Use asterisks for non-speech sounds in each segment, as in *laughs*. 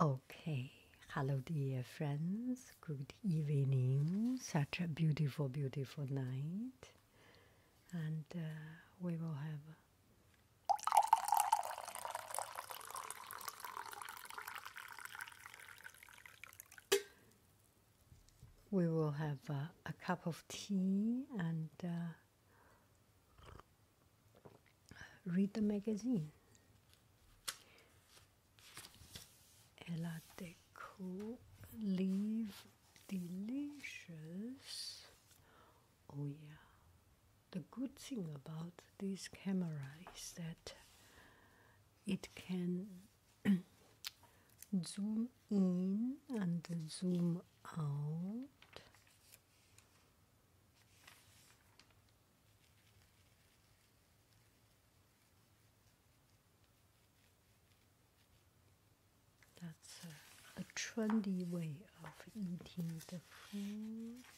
Okay, hello, dear friends. Good evening. Such a beautiful, beautiful night, and uh, we will have. We will have a cup of tea and uh, Read the magazine. Ella Deco, Live Delicious. Oh, yeah. The good thing about this camera is that it can *clears throat* zoom in and zoom out that's a, trendy way of eating the food.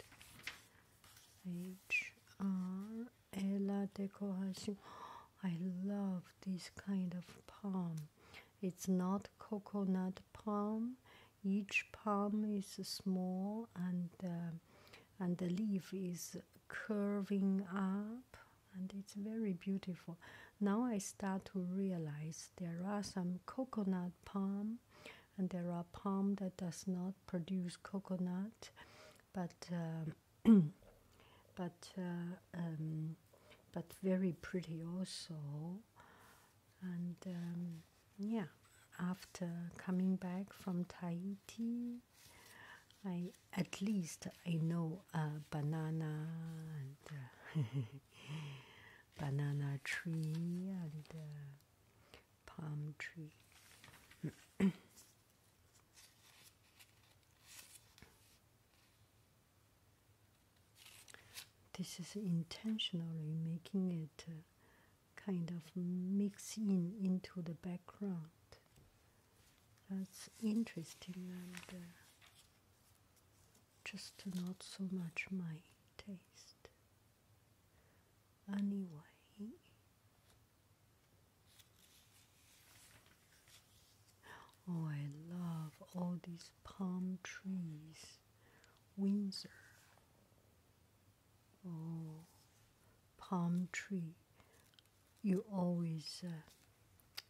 H R Ella decoration. *gasps* I love this kind of palm. It's not coconut palm, each palm is small and uh, and the leaf is curving up and it's very beautiful. Now I start to realize there are some coconut palm and there are palm that does not produce coconut but uh, *clears throat* but uh, um, but very pretty also and um, yeah, after coming back from Tahiti, I at least I know a banana and *laughs* banana tree and uh, palm tree. this is intentionally making it. Uh, kind of mix in into the background. That's interesting and uh, just not so much my taste. Anyway, oh, I love all these palm trees. Windsor. Oh, palm tree. You always, uh,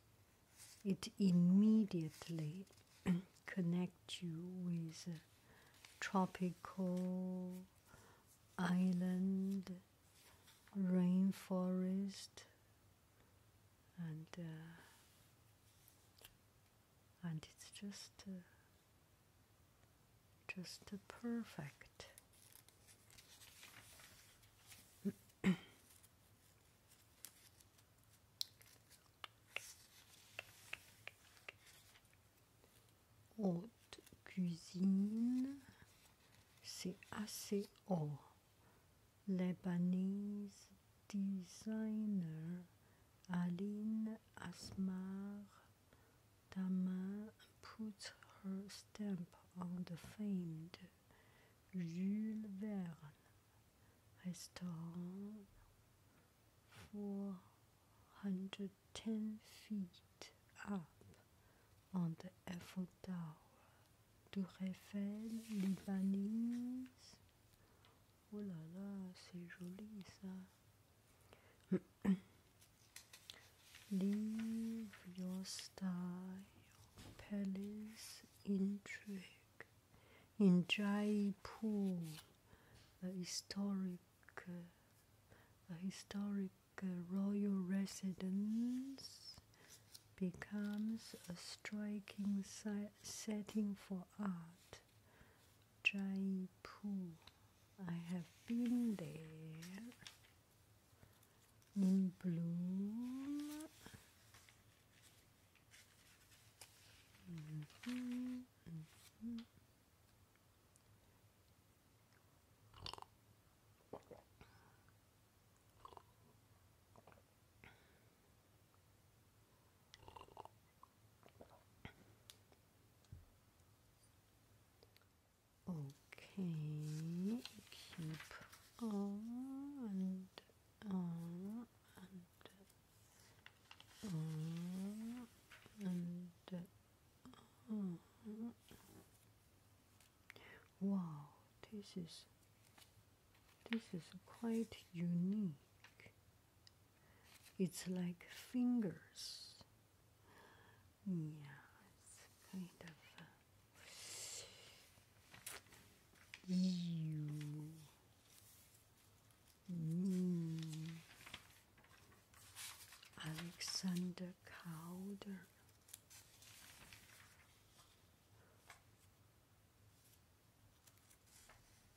it immediately *clears throat* connect you with uh, tropical island, rainforest, and uh, and it's just uh, just perfect. *coughs* Haute cuisine, c'est assez haut. Lebanese designer Aline Asmar Daman puts her stamp on the famed Jules Verne restaurant 410 feet up on the Eiffel Tower. to reveal the Lebanese Oh là là, c'est joli ça. Leave *clears throat* your style, palace intrigue in Jaipur, a historic, a historic royal residence becomes a striking setting for art Jaipur. I have been there in bloom. Mm-hmm. Mm-hmm. Okay, keep on and on uh, and on uh, and on. Uh, wow, this is this is quite unique. It's like fingers. Yeah, it's kind of. Uh, ew. Mm. Alexander Calder.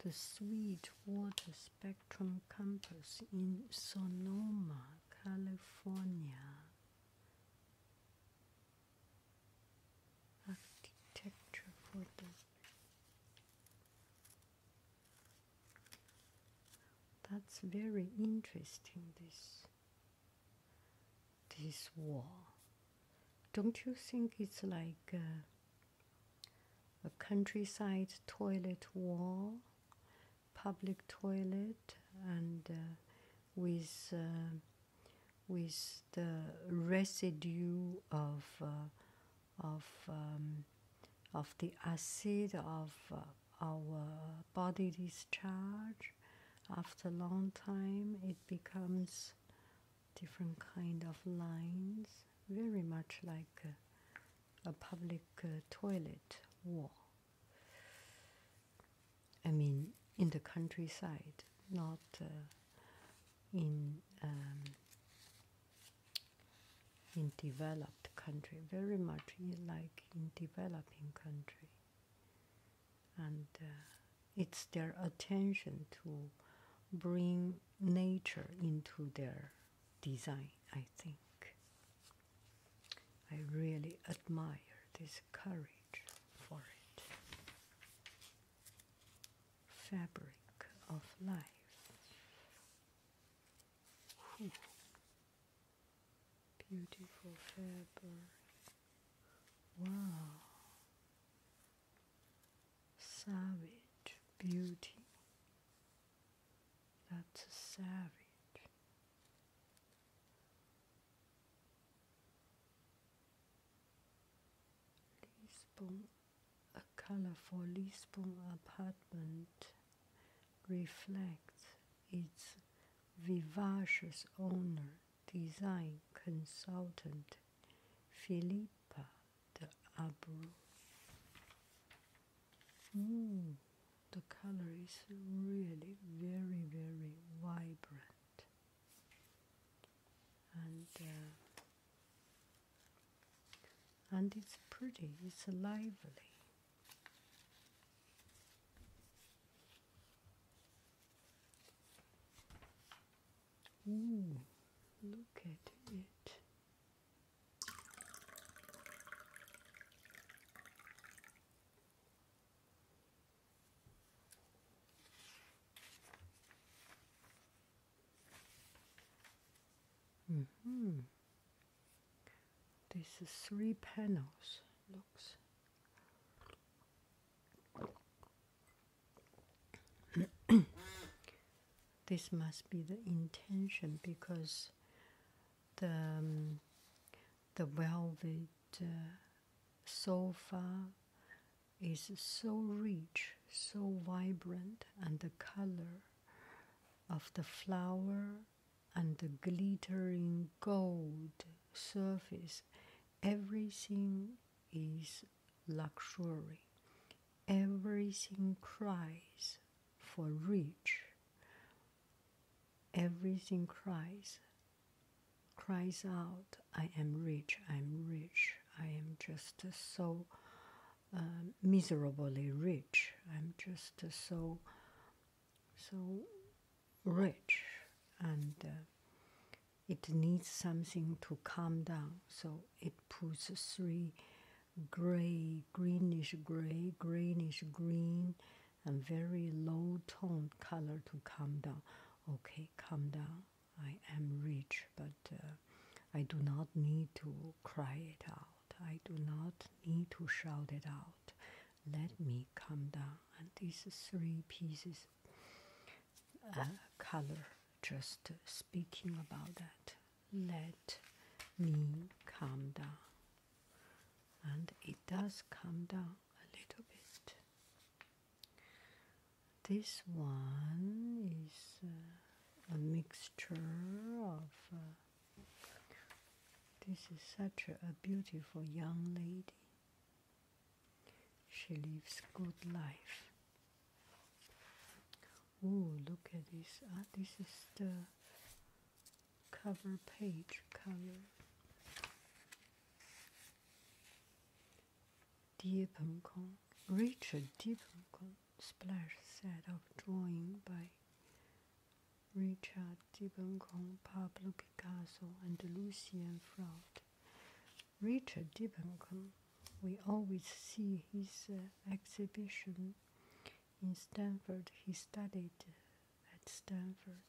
The Sweetwater Spectrum Campus in Sonoma, California. Architecture that's very interesting this this wall. Don't you think it's like a, countryside toilet wall, public toilet, and uh, with uh, with the residue of uh, of um, of the acid of our body discharge after a long time it becomes different kind of lines, very much like a, public uh, toilet wall. I mean, in the countryside, not uh, in um, in developed country. Very much like in developing country and uh, it's their attention to bring nature into their design, I think. I really admire this courage for it. Fabric of life. Beautiful fabric. Wow savage beauty. That's savage. Lisbon, a colorful Lisbon apartment reflects its vivacious owner design consultant Philippa de Abreu. Mm, the color is really very, very vibrant. And uh, and it's pretty, it's lively look at it. hmm. This is three panels. Looks. *coughs* this must be the intention because the um, the velvet uh, sofa is so rich, so vibrant, and the color of the flower and the glittering gold surface Everything is luxury. Everything cries for rich. Everything cries, cries out, I am rich, I am rich, I am just so um, miserably rich, I'm just so, so rich and uh, it needs something to calm down. So it puts three gray, greenish gray, greenish green, and very low toned color to calm down. Okay, calm down. I am rich, but uh, I do not need to cry it out. I do not need to shout it out. Let me calm down. And these three pieces color. Just speaking about that. Let me calm down. And it does calm down a little bit. This one is uh, a mixture of. Uh, this is such a beautiful young lady. She lives good life. Oh, look at this. Ah, this is the cover page cover. Dear Peng Kong, Richard Dear Peng Kong, splash set of drawing by Richard Deepenkong, Pablo Picasso, and Lucian Freud. Richard Dibbencom, we always see his uh, exhibition in Stanford. He studied at Stanford.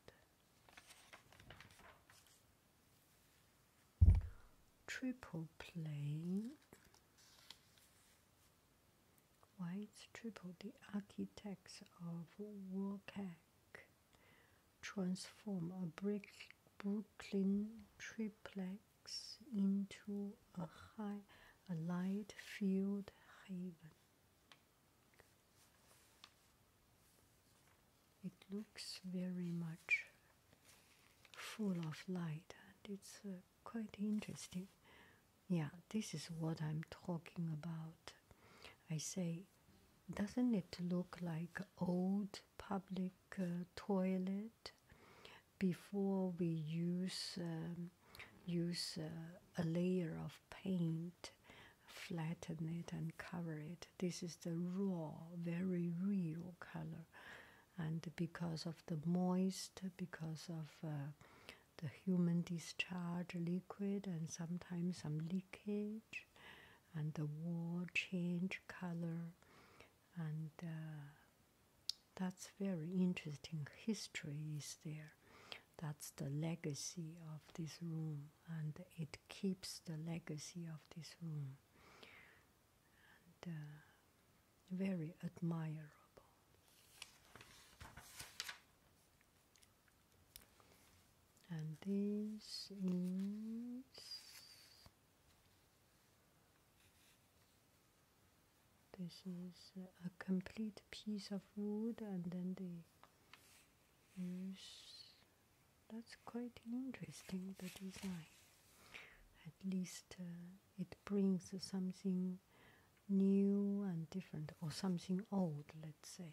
Triple Play. Why triple? The architects of WCAG transform a brick Brooklyn triplex into a high, a light filled haven. It looks very much full of light and it's uh, quite interesting. Yeah, this is what I'm talking about. I say, doesn't it look like old public uh, toilet before we use um, use uh, a layer of paint, flatten it and cover it? This is the raw, very real color, and because of the moist, because of uh, the human discharge liquid and sometimes some leakage and the wall change color and uh, that's very interesting history is there that's the legacy of this room and it keeps the legacy of this room uh, very admirable and this is this is a complete piece of wood and then they use that's quite interesting the design at least uh, it brings something new and different or something old let's say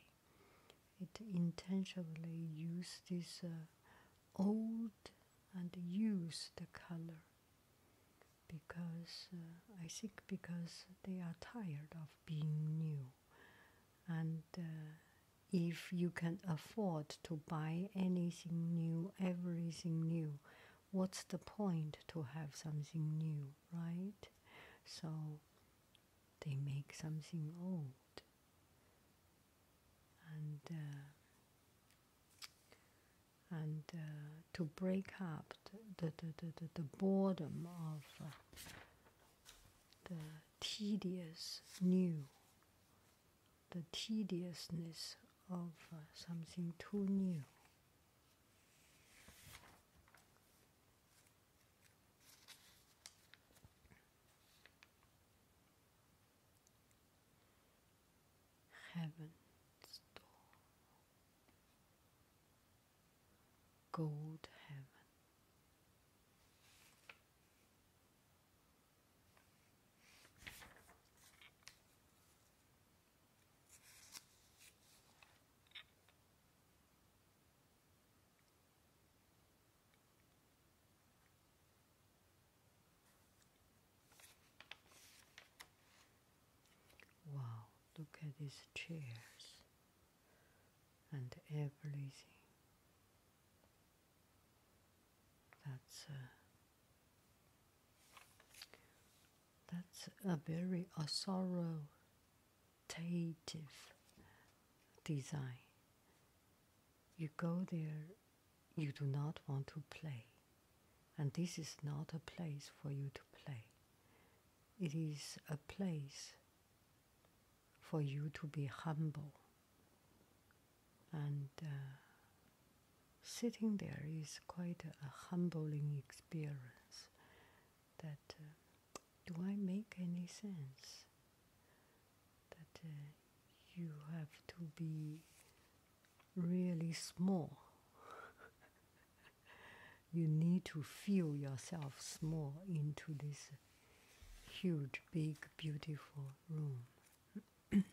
it intentionally use this uh, old and used color because uh, I think because they are tired of being new and uh, if you can afford to buy anything new, everything new, what's the point to have something new, right? So they make something old and uh, and uh, to break up the the, the, the, the boredom of uh, the tedious new the tediousness of something too new Heaven's door, gold heaven. Wow, look at these chairs and everything. That's a, that's a very Osoro qualitative design. You go there, you do not want to play. And this is not a place for you to play. It is a place for you to be humble. And uh, sitting there is quite a, humbling experience that. Uh, do I make any sense? That uh, you have to be really small. *laughs* you need to feel yourself small into this huge, big, beautiful room. *coughs* Gosh,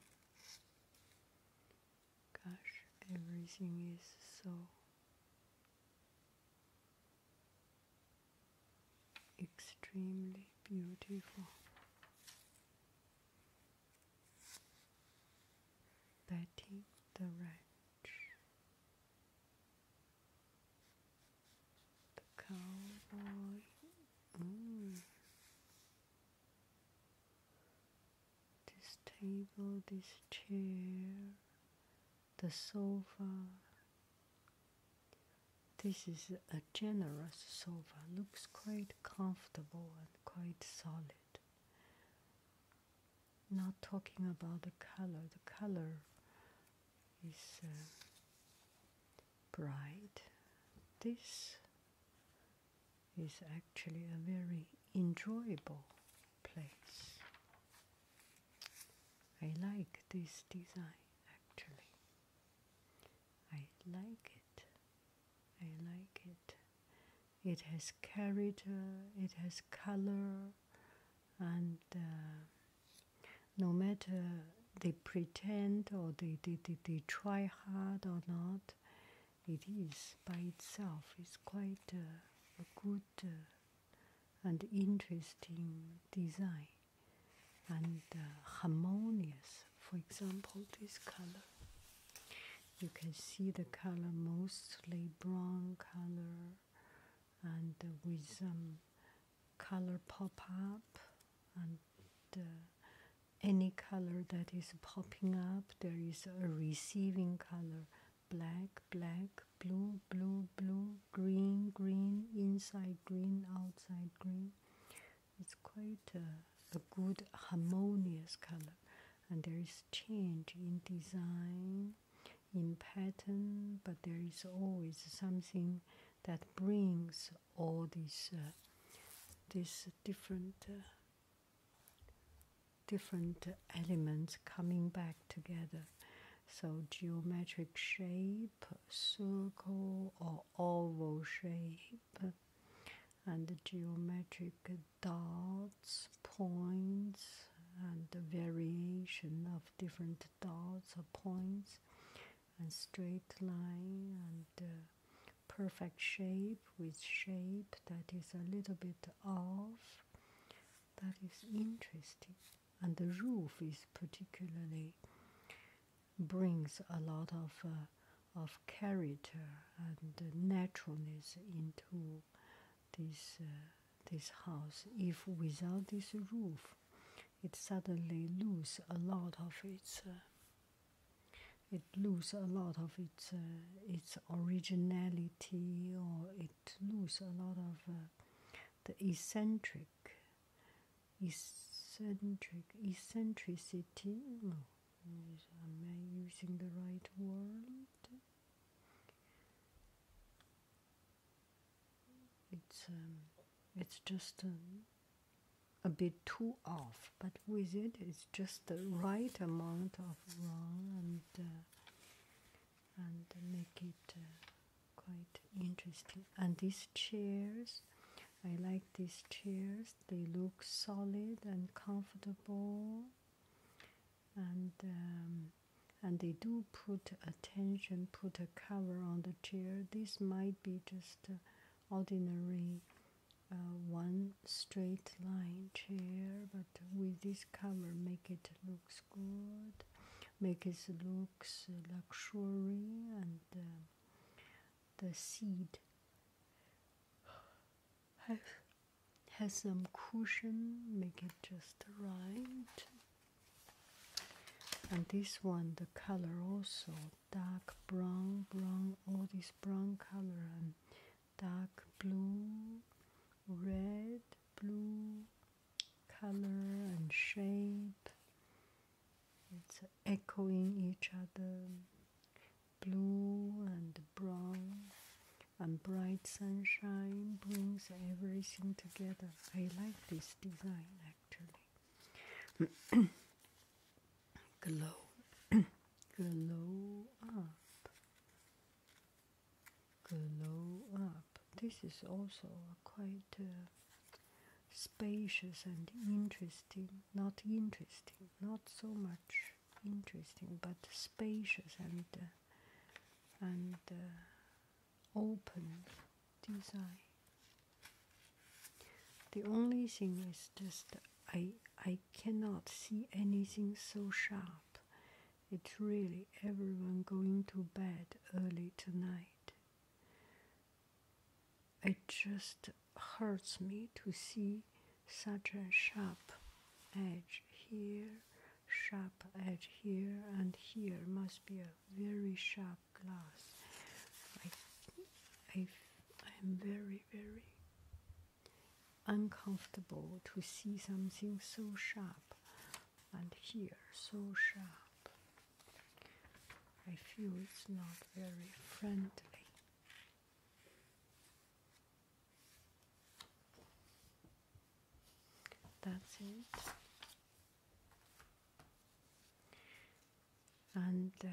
everything is so extremely beautiful. Betty the Ranch, the cowboy. This table, this chair, the sofa. This is a generous sofa, looks quite comfortable and quite solid. Not talking about the color, the color is uh, bright. This is actually a very enjoyable place. I like this design actually. I like it. I like it. It has character, it has color, and uh, no matter they pretend or they, they, they, try hard or not, it is by itself. It's quite a good uh, and interesting design and uh, harmonious. For example, this color. You can see the color mostly brown color and uh, with some color pop up and uh, any color that is popping up there is a receiving color black black blue blue blue green green inside green outside green it's quite a, a good harmonious color and there is change in design in pattern but there is always something that brings all these uh, these different uh, different elements coming back together. So geometric shape, circle or oval shape, and geometric dots, points, and the variation of different dots or points, and straight line, and perfect shape with shape that is a little bit off. That is interesting and the roof is particularly brings a lot of uh, of character and naturalness into this uh, this house. If without this roof, it suddenly lose a lot of its. Uh, it lose a lot of its its originality, or it lose a lot of the eccentric, eccentric, eccentricity. No, am I using the right word? It's um, it's just um, a bit too off, but with it, it's just the right amount of wrong and. Uh, and make it uh, quite interesting. And these chairs, I like these chairs. They look solid and comfortable, and um, and they do put attention, put a cover on the chair. This might be just uh, ordinary. Uh, one straight line chair, but with this cover, make it look good, make it looks luxury and uh, the seat has, has some cushion, make it just right. And this one, the color also dark brown, brown, all this brown color and dark blue red, blue color and shape. It's echoing each other. Blue and brown and bright sunshine brings everything together. I like this design actually. *clears throat* Glow, *clears throat* glow up glow up. This is also quite uh, spacious and interesting, not interesting, not so much interesting, but spacious and uh, and uh, open design. The only thing is just I I cannot see anything so sharp it's really everyone going to bed early tonight. It just hurts me to see such a sharp edge here, sharp edge here, and here must be a very sharp glass. I, I, I'm very, very uncomfortable to see something so sharp and here so sharp. I feel it's not very friendly. That's it. And uh,